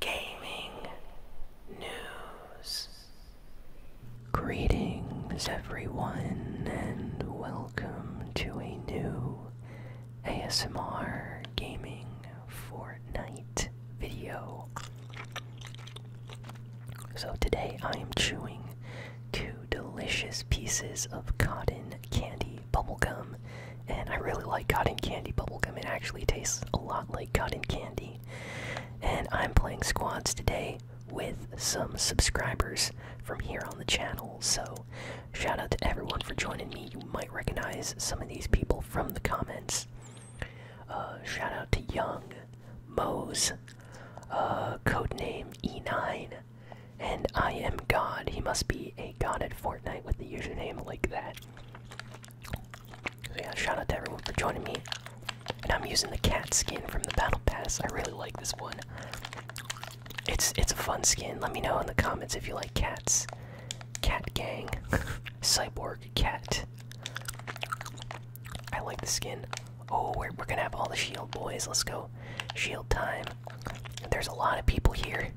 gaming news. Greetings, everyone, and welcome to a new ASMR gaming Fortnite video. So, today I am chewing two delicious pieces of cotton candy bubblegum. And I really like cotton candy bubblegum. It actually tastes a lot like cotton candy. And I'm playing squads today with some subscribers from here on the channel. So, shout out to everyone for joining me. You might recognize some of these people from the comments. Uh, shout out to Young, Mose, uh, Code Name E9, and I am God. He must be a god at Fortnite with the username like that yeah, shout out to everyone for joining me. And I'm using the cat skin from the battle pass. I really like this one. It's it's a fun skin. Let me know in the comments if you like cats. Cat gang. Cyborg cat. I like the skin. Oh, we're we're gonna have all the shield boys. Let's go. Shield time. There's a lot of people here.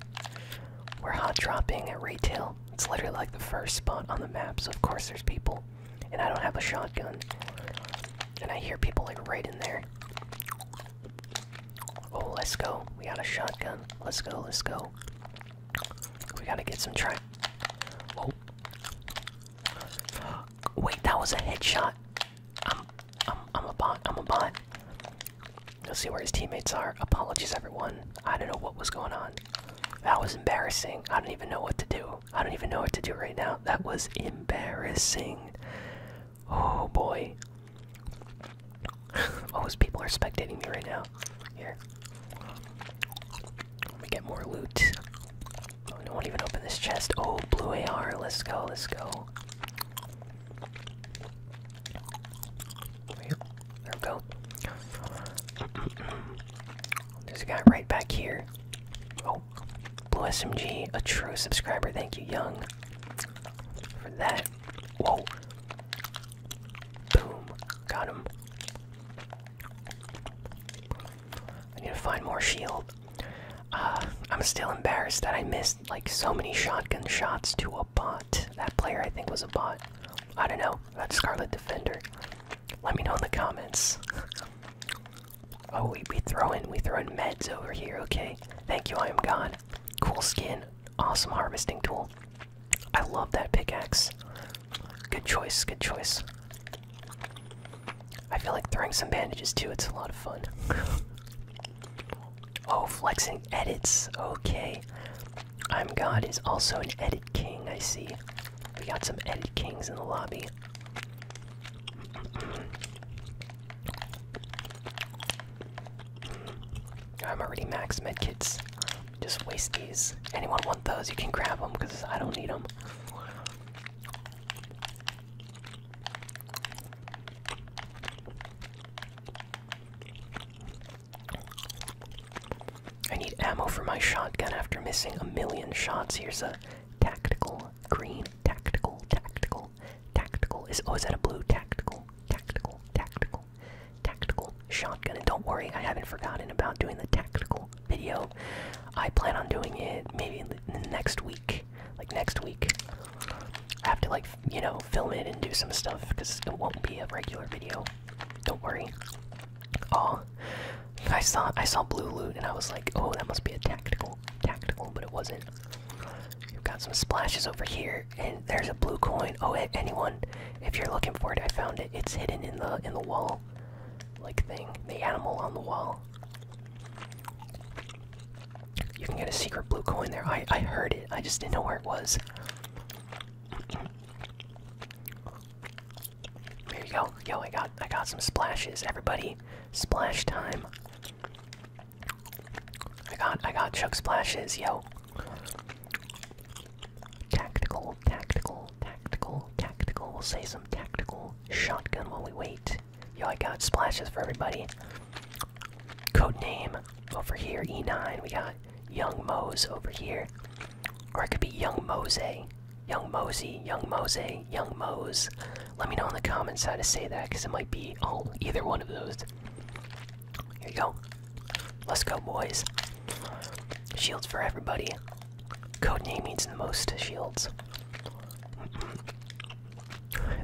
We're hot dropping at retail. It's literally like the first spot on the map, so of course there's people. And I don't have a shotgun. And I hear people like right in there. Oh, let's go. We got a shotgun. Let's go, let's go. We gotta get some try. Oh. Wait, that was a headshot. I'm, I'm, I'm a bot. I'm a bot. You'll see where his teammates are. Apologies, everyone. I don't know what was going on. That was embarrassing. I don't even know what to do. I don't even know what to do right now. That was embarrassing. Oh boy. oh, those people are spectating me right now. Here. Let me get more loot. Oh, no one even opened this chest. Oh, blue AR. Let's go, let's go there we go. There's a guy right back here. Oh, Blue SMG, a true subscriber. Thank you, Young, for that. Whoa. Boom. Got him. I need to find more shield. Uh, I'm still embarrassed that I missed like so many shotgun shots to a bot. That player, I think, was a bot. I don't know go. That's Scarlet Defender. Let me know in the comments. oh, we we throwing we throwing meds over here. Okay, thank you. I am God. Cool skin. Awesome harvesting tool. I love that pickaxe. Good choice. Good choice. I feel like throwing some bandages too. It's a lot of fun. oh, flexing edits. Okay. I'm God is also an Ed king, I see. We got some Ed kings in the lobby. I'm already max medkits. Just waste these. Anyone want those? You can grab them because I don't need them. I need ammo for my shotgun after missing a million shots. Here's a tactical green, tactical, tactical, tactical. Is oh, is that a blue tactical, tactical, tactical, tactical shotgun? And don't worry, I haven't forgotten about doing the tactical video. I plan on doing it maybe next week, like next week. I have to like you know film it and do some stuff because it won't be a regular video. Don't worry. Oh, I saw I saw blue loot and I was like, oh, that must be a tactical, tactical, but it wasn't. You've got some splashes over here, and there's a blue coin. Oh, anyone, if you're looking for it, I found it. It's hidden in the in the wall, like thing, the animal on the wall. You can get a secret blue coin there. I I heard it. I just didn't know where it was. There you go. Yo, I got I got some splashes. Everybody, splash time. I got I got chug splashes, yo. Tactical, tactical, tactical, tactical. We'll say some tactical shotgun while we wait. Yo, I got splashes for everybody. Code name over here, E9. We got Young Mose over here. Or it could be Young Mose. Young Mosey, Young Mose, Young Mose. Let me know in the comments how to say that because it might be either one of those. Here you go. Let's go, boys. Shields for everybody. Codename means the most shields.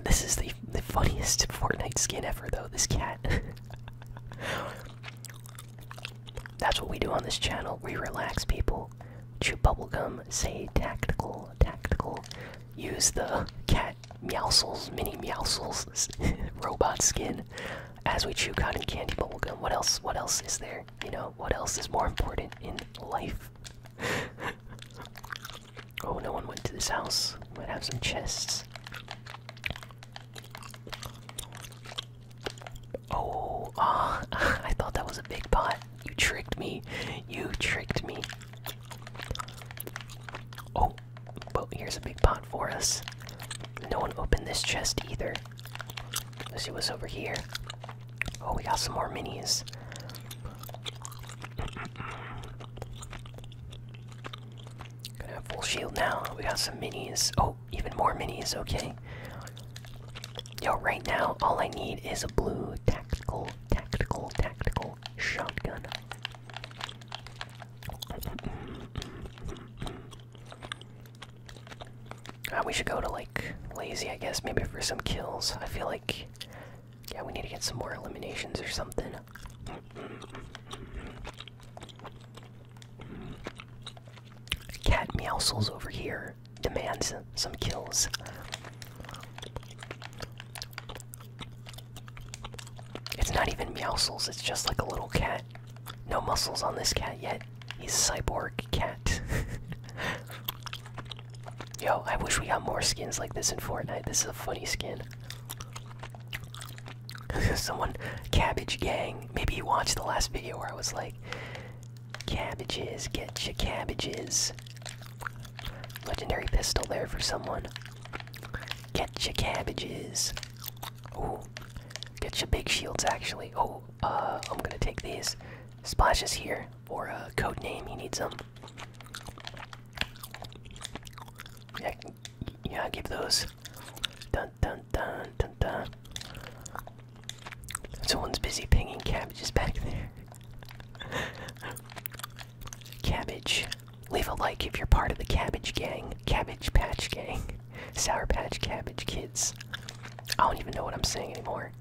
This is the, the funniest Fortnite skin ever, though, this cat. That's what we do on this channel. We relax people, chew bubblegum, say tactical, tactical, use the cat meowsels, mini meowsels robot skin as we chew cotton candy bubblegum. What else what else is there? You know, what else is more important in life? oh no one went to this house. Might have some chests. Oh, uh, I thought that was a big pot. You tricked me. You tricked me. Oh, well, here's a big pot for us. No one opened this chest either. Let's see what's over here. Oh, we got some more minis. Gonna have full shield now. We got some minis. Oh, even more minis, okay. Yo, right now, all I need is a blue tactical, tactical, tactical shotgun. Ah, we should go to like lazy, I guess, maybe for some kills. I feel like, yeah, we need to get some more eliminations or something. Cat Meowsles over here demands some kills. It's not even Meowsles, it's just like a little cat. No muscles on this cat yet. He's a cyborg cat. Yo, I wish we got more skins like this in Fortnite. This is a funny skin. Someone, Cabbage Gang. Maybe you watched the last video where I was like, Cabbages, get your cabbages. Legendary pistol there for someone. Get your cabbages. Ooh, get your big shields actually. Oh, uh, I'm gonna take these. splashes here, for a uh, code name, You need some. Yeah, yeah, give those. Dun dun dun dun dun. Someone's busy pinging cabbages back there. cabbage. Leave a like if you're part of the cabbage gang. Cabbage patch gang. Sour patch cabbage kids. I don't even know what I'm saying anymore.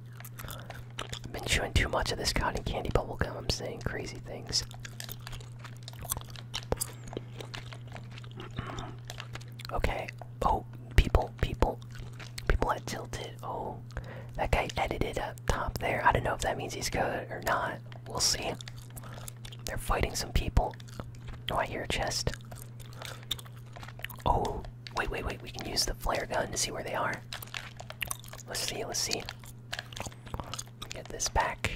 I've been chewing too much of this cotton candy bubble gum. I'm saying crazy things. Okay. Oh, people, people, people at Tilted. Oh, that guy edited up top there. I don't know if that means he's good or not. We'll see. They're fighting some people. Oh, I hear a chest. Oh, wait, wait, wait. We can use the flare gun to see where they are. Let's see, let's see. Get this back.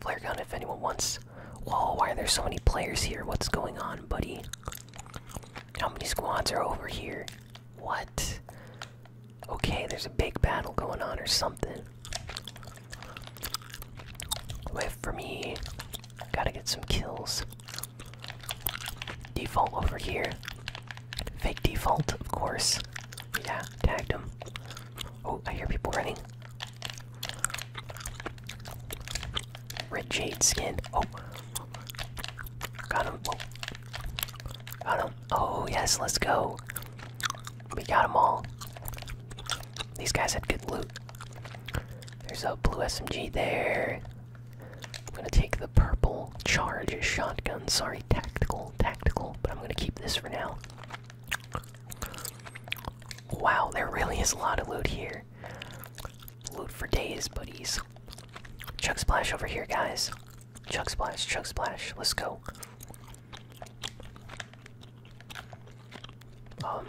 Flare gun if anyone wants. Whoa, why are there so many players here? What's going on, buddy? How many squads are over here? What? Okay, there's a big battle going on or something. Wait for me. Gotta get some kills. Default over here. Fake default, of course. Yeah, tagged him. Oh, I hear people running. Red Jade skin. Oh. Got him. Got him. Oh, yes, let's go. We got them all. These guys had good loot. There's a blue SMG there. I'm gonna take the purple charge a shotgun. Sorry, tactical, tactical, but I'm gonna keep this for now. Wow, there really is a lot of loot here. Loot for days, buddies. Chuck Splash over here, guys. Chuck Splash, Chuck Splash, let's go. Um,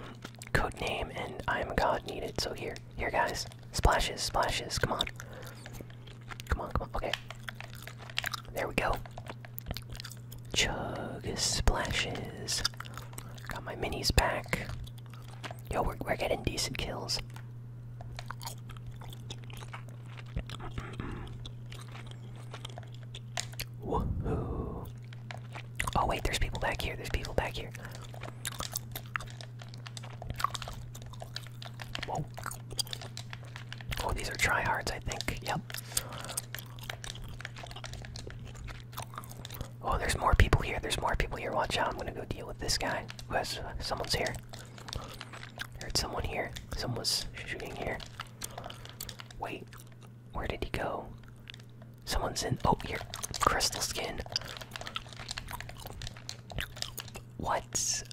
code name and I am a god needed, so here, here guys. Splashes, splashes, come on. Come on, come on, okay. There we go. Chug splashes. Got my minis back. Yo, we're, we're getting decent kills. Woohoo. Oh, wait, there's people back here. There's people back here. Whoa. Oh, these are tryhards, I think. Yep. Oh, there's more people here. There's more people here. Watch out. I'm gonna go deal with this guy. Who has uh, someone's here? I heard someone here. Someone's shooting here. Wait, where did he go? Someone's in. Oh, you're Crystal skin. What?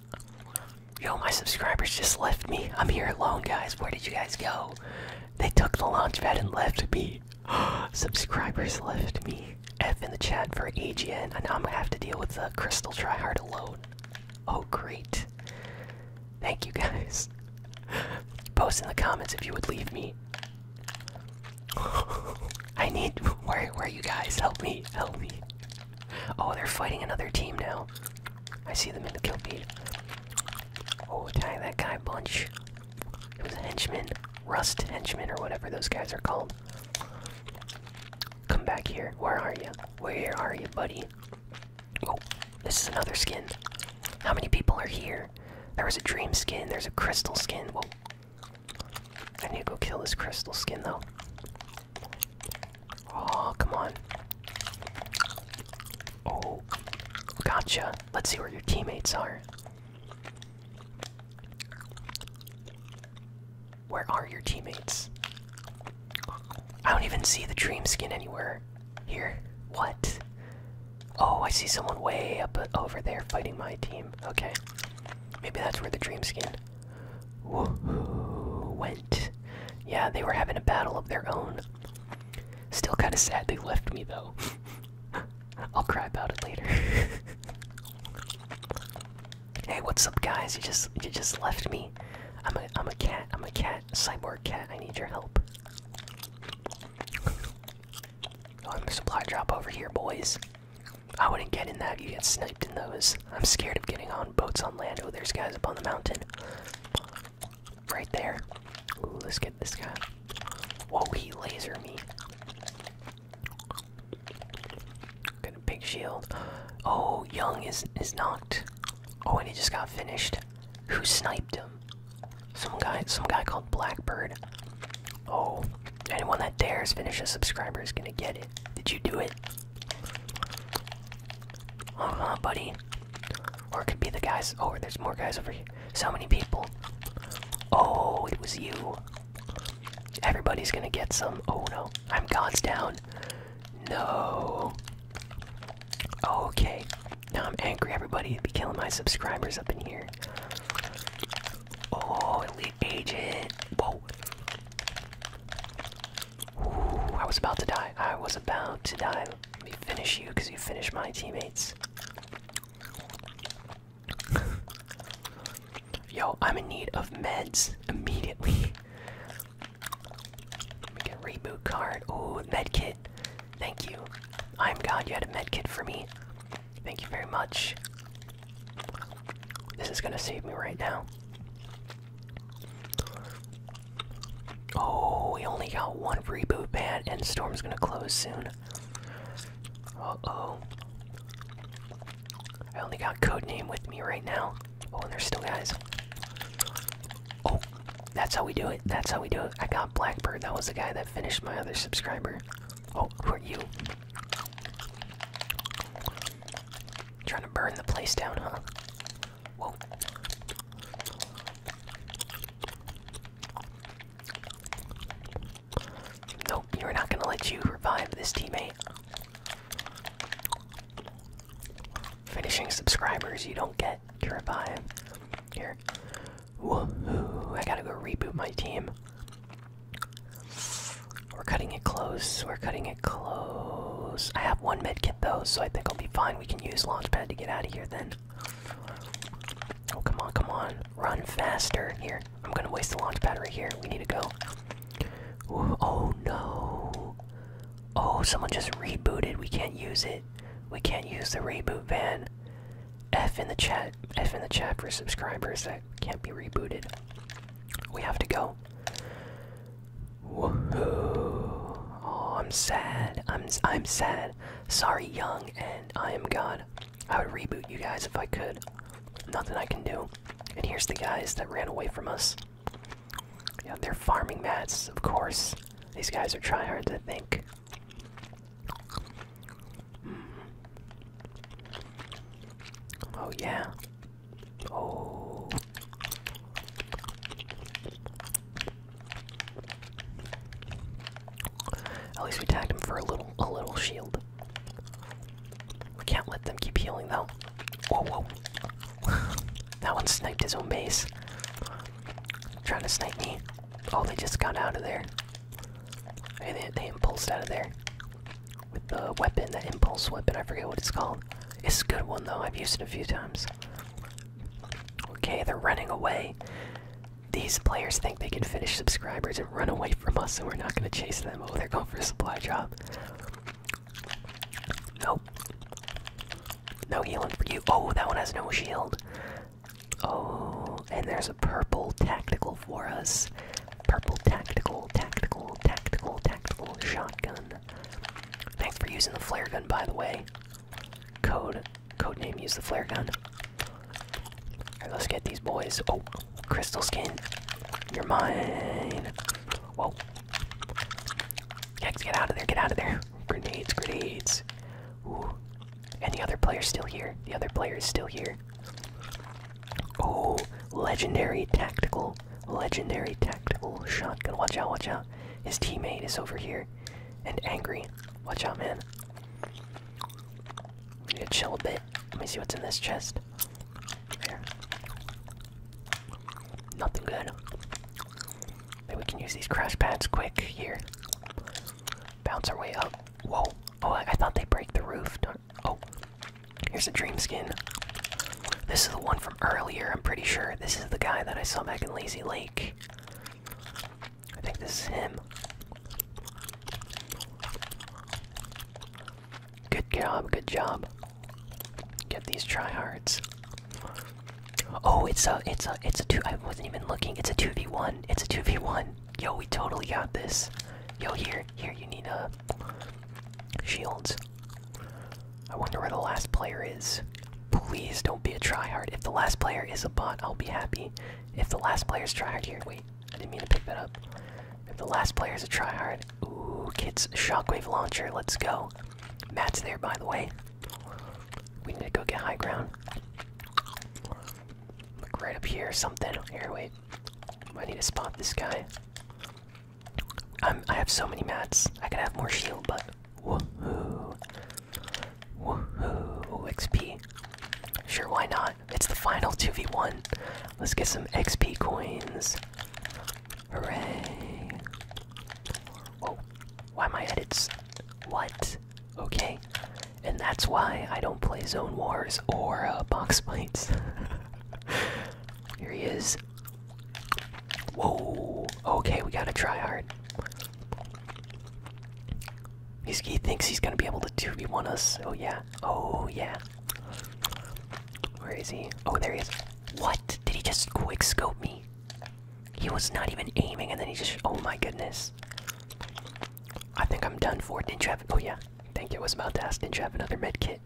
Yo, my subscribers just left me. I'm here alone, guys. Where did you guys go? They took the launch pad and left me. Subscribers left me. F in the chat for AGN. And now I'm gonna have to deal with the Crystal Tryhard alone. Oh, great. Thank you guys. Post in the comments if you would leave me. I need. Where, where are you guys? Help me. Help me. Oh, they're fighting another team now. I see them in the kill feed. Oh, tie that guy bunch. It was henchman, rust henchman, or whatever those guys are called. Come back here. Where are you? Where are you, buddy? Oh, this is another skin. How many people are here? There was a dream skin. There's a crystal skin. Whoa. I need to go kill this crystal skin, though. Oh, come on. Oh, gotcha. Let's see where your teammates are. Where are your teammates? I don't even see the dream skin anywhere. Here. What? Oh, I see someone way up over there fighting my team. Okay. Maybe that's where the dream skin went. Yeah, they were having a battle of their own. Still kind of sad they left me though. I'll cry about it later. hey, what's up, guys? You just you just left me. I'm a I'm a cat. I'm a cat. Cyborg cat. I need your help. Oh, I'm a supply drop over here, boys. I wouldn't get in that. You get sniped in those. I'm scared of getting on boats on land. Oh, there's guys up on the mountain. Right there. let's get this guy. Whoa, he laser me. Got a big shield. Oh, Young is is knocked. Oh, and he just got finished. Who sniped him? Some guy, some guy called Blackbird. Oh, anyone that dares finish a subscriber is gonna get it. Did you do it? Uh huh, buddy. Or it could be the guys. Oh, there's more guys over here. So many people. Oh, it was you. Everybody's gonna get some. Oh no, I'm gods down. No. Okay. Now I'm angry, everybody. Be killing my subscribers up in here. Oh, elite agent. Whoa. Ooh, I was about to die. I was about to die. Let me finish you because you finished my teammates. Yo, I'm in need of meds immediately. reboot card. Oh, med kit. Thank you. I'm God, you had a med kit for me. Thank you very much. This is gonna save me right now. Oh, we only got one reboot ban, and Storm's gonna close soon. Uh oh. I only got Code Name with me right now. Oh, and there's still guys. Oh, that's how we do it. That's how we do it. I got Blackbird. That was the guy that finished my other subscriber. Oh, who are you? Trying to burn the place down, huh? Whoa. Nope, you're not gonna let you revive this teammate. Finishing subscribers you don't get to revive. Here. Woohoo, I gotta go reboot my team. We're cutting it close, we're cutting it close. I have one kit though, so I think I'll be fine. We can use Launchpad to get out of here then. Oh, come on, come on. Run faster. Here, I'm gonna waste the launch battery. here. We need to go. oh no. Oh, someone just rebooted. We can't use it. We can't use the reboot van. F in the chat. F in the chat for subscribers that can't be rebooted. We have to go. Woohoo! Oh, I'm sad. I'm I'm sad. Sorry, Young, and I am God. I would reboot you guys if I could. Nothing I can do. And here's the guys that ran away from us. Yeah, they're farming mats, of course. These guys are tryhards, I think. Hmm. Oh, yeah. Oh. At least we tagged him for a little a little shield. We can't let them keep healing though. Whoa whoa. that one sniped his own base. Trying to snipe me. Oh they just got out of there. Hey, they, they impulsed out of there. With the weapon, the impulse weapon, I forget what it's called. It's a good one though, I've used it a few times. Okay, they're running away. These players think they can finish subscribers and run away from us, so we're not going to chase them. Oh, they're going for a supply drop. Nope. No healing for you. Oh, that one has no shield. Oh, and there's a purple tactical for us. Purple tactical, tactical, tactical, tactical shotgun. Thanks for using the flare gun, by the way. Code. Code name. Use the flare gun. let's get these boys. Oh, crystal skin. You're mine. Whoa. get out of there. Get out of there. Grenades. Grenades. Any other player still here. The other player is still here. Oh, legendary tactical, legendary tactical shot. Gonna Watch out, watch out. His teammate is over here and angry. Watch out, man. We to chill a bit. Let me see what's in this chest. There. Nothing good. Maybe we can use these crash pads quick here. Bounce our way up. Whoa. Oh, I, thought they break the roof. oh. Here's a dream skin. This is the one from earlier, I'm pretty sure. This is the guy that I saw back in Lazy Lake. I think this is him. Good job, good job. Get these tryhards. Oh, it's a, it's a, it's a two. I wasn't even looking. It's a two v one. It's a two v one. Yo, we totally got this. Yo, here, here, you need a uh, shield. I wonder where the last player is. Please don't be a tryhard. If the last player is a bot, I'll be happy. If the last player is tryhard here, wait, I didn't mean to pick that up. If the last player is a tryhard, ooh, kids, shockwave launcher, let's go. Matt's there, by the way. We need to go get high ground. Look right up here something. Here, wait. I need to spot this guy. I'm, I have so many mats. I could have more shield, but Woohoo. Woohoo. XP. Sure, why not? It's the final 2v1. Let's get some XP coins. Hooray. Whoa. Oh, why my edits? What? Okay. And that's why I don't play Zone Wars or uh, Box Fights. Here he is. Whoa. Okay, we gotta try hard he thinks he's gonna be able to do me one us. Oh, yeah. Oh, yeah. Where is he? Oh, there he is. What? Did he just quick scope me? He was not even aiming, and then he just. Oh my goodness. I think I'm done for. Didn't you have. Oh, yeah. Thank you. was about to ask. Didn't you have another med kit?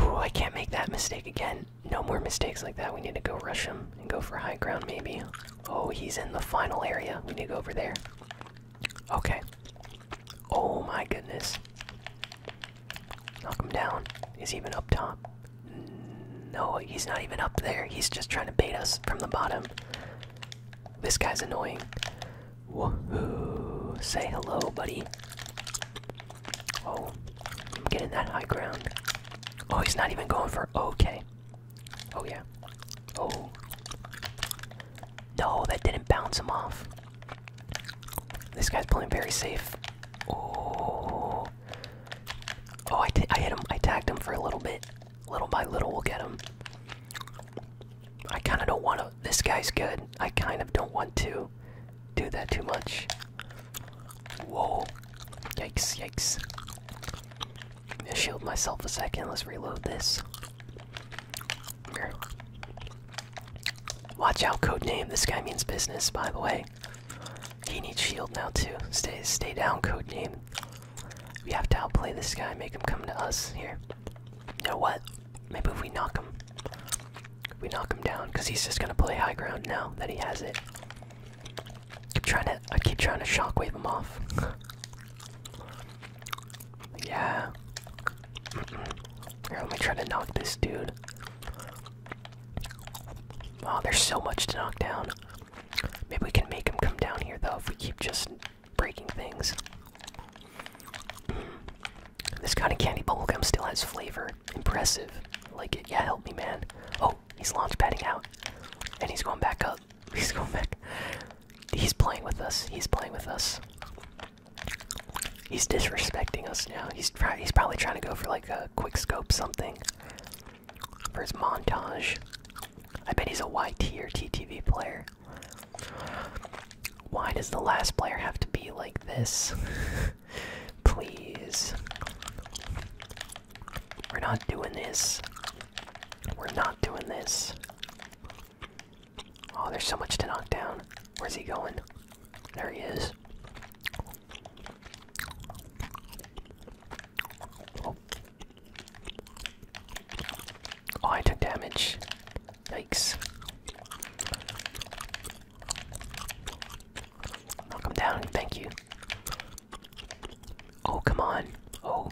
Ooh, I can't make that mistake again no more mistakes like that. We need to go rush him and go for high ground, maybe. Oh, he's in the final area. We need to go over there. Okay. Oh my goodness. Knock him down. Is he even up top? No, he's not even up there. He's just trying to bait us from the bottom. This guy's annoying. Say hello, buddy. Oh, I'm getting that high ground. Oh, he's not even going for okay. Oh, yeah. Oh. No, that didn't bounce him off. This guy's playing very safe. Oh. Oh, I, I hit him. I tagged him for a little bit. Little by little, we'll get him. I kind of don't want to. This guy's good. I kind of don't want to do that too much. Whoa. Yikes, yikes. shield myself a second. Let's reload this. Here. Watch out, Code Name. This guy means business, by the way. He needs shield now too. Stay stay down, Code Name. We have to outplay this guy, make him come to us here. You know what? Maybe if we knock him. We knock him down, because he's just gonna play high ground now that he has it. Keep trying to I keep trying to shock, wave him off. yeah. Mm -mm. Here, let me try to knock this dude. Oh, there's so much to knock down. Maybe we can make him come down here though if we keep just breaking things. This kind of candy bubblegum still has flavor. Impressive. like it. Yeah, help me, man. Oh, He's launch padding out. And he's going back up. He's going back. He's playing with us. He's playing with us. He's disrespecting us now. He's try he's probably trying to go for like a quick scope something. For his montage. I bet he's a YT or TTV player. Why does the last player have to be like this? Please. We're not doing this. We're not doing this. Oh, there's so much to knock down. Where's he going? There he is. Oh, I took damage. Yikes. Welcome down. Thank you. Oh, come on. Oh.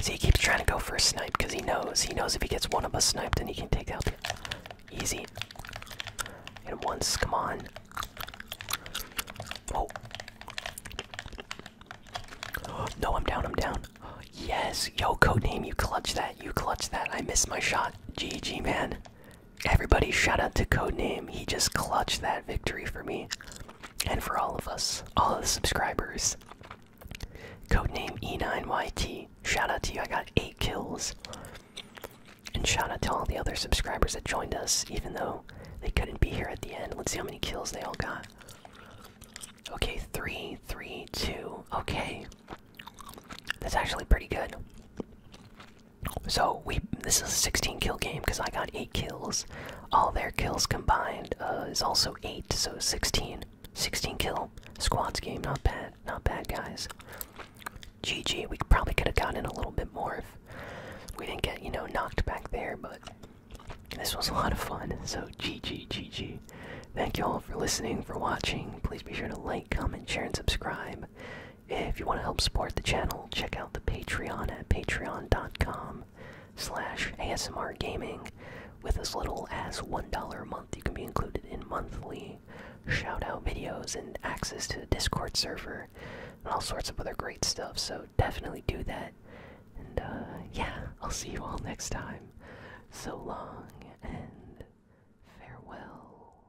See, he keeps trying to go for a snipe because he knows. He knows if he gets one of us sniped, then he can take out the. Easy. Hit him once. Come on. Oh. oh. No, I'm down. I'm down. Yes. Yo, codename, you clutch that. You clutch that. I missed my shot. GG, man. Everybody, shout out to Codename. He just clutched that victory for me and for all of us, all of the subscribers. Codename E9YT. Shout out to you. I got eight kills. And shout out to all the other subscribers that joined us, even though they couldn't be here at the end. Let's see how many kills they all got. Okay, three, three, two. Okay. That's actually pretty good. So we this is a 16 kill game because I got eight kills. All their kills combined uh, is also eight, so 16, 16 kill squads game. Not bad, not bad, guys. GG. We probably could have gotten a little bit more if we didn't get you know knocked back there, but this was a lot of fun. So GG, GG. Thank you all for listening, for watching. Please be sure to like, comment, share, and subscribe. If you want to help support the channel, check out the Patreon at patreon.com slash ASMR Gaming. With as little as $1 a month, you can be included in monthly shoutout videos and access to the Discord server and all sorts of other great stuff, so definitely do that. And uh, yeah, I'll see you all next time. So long and farewell.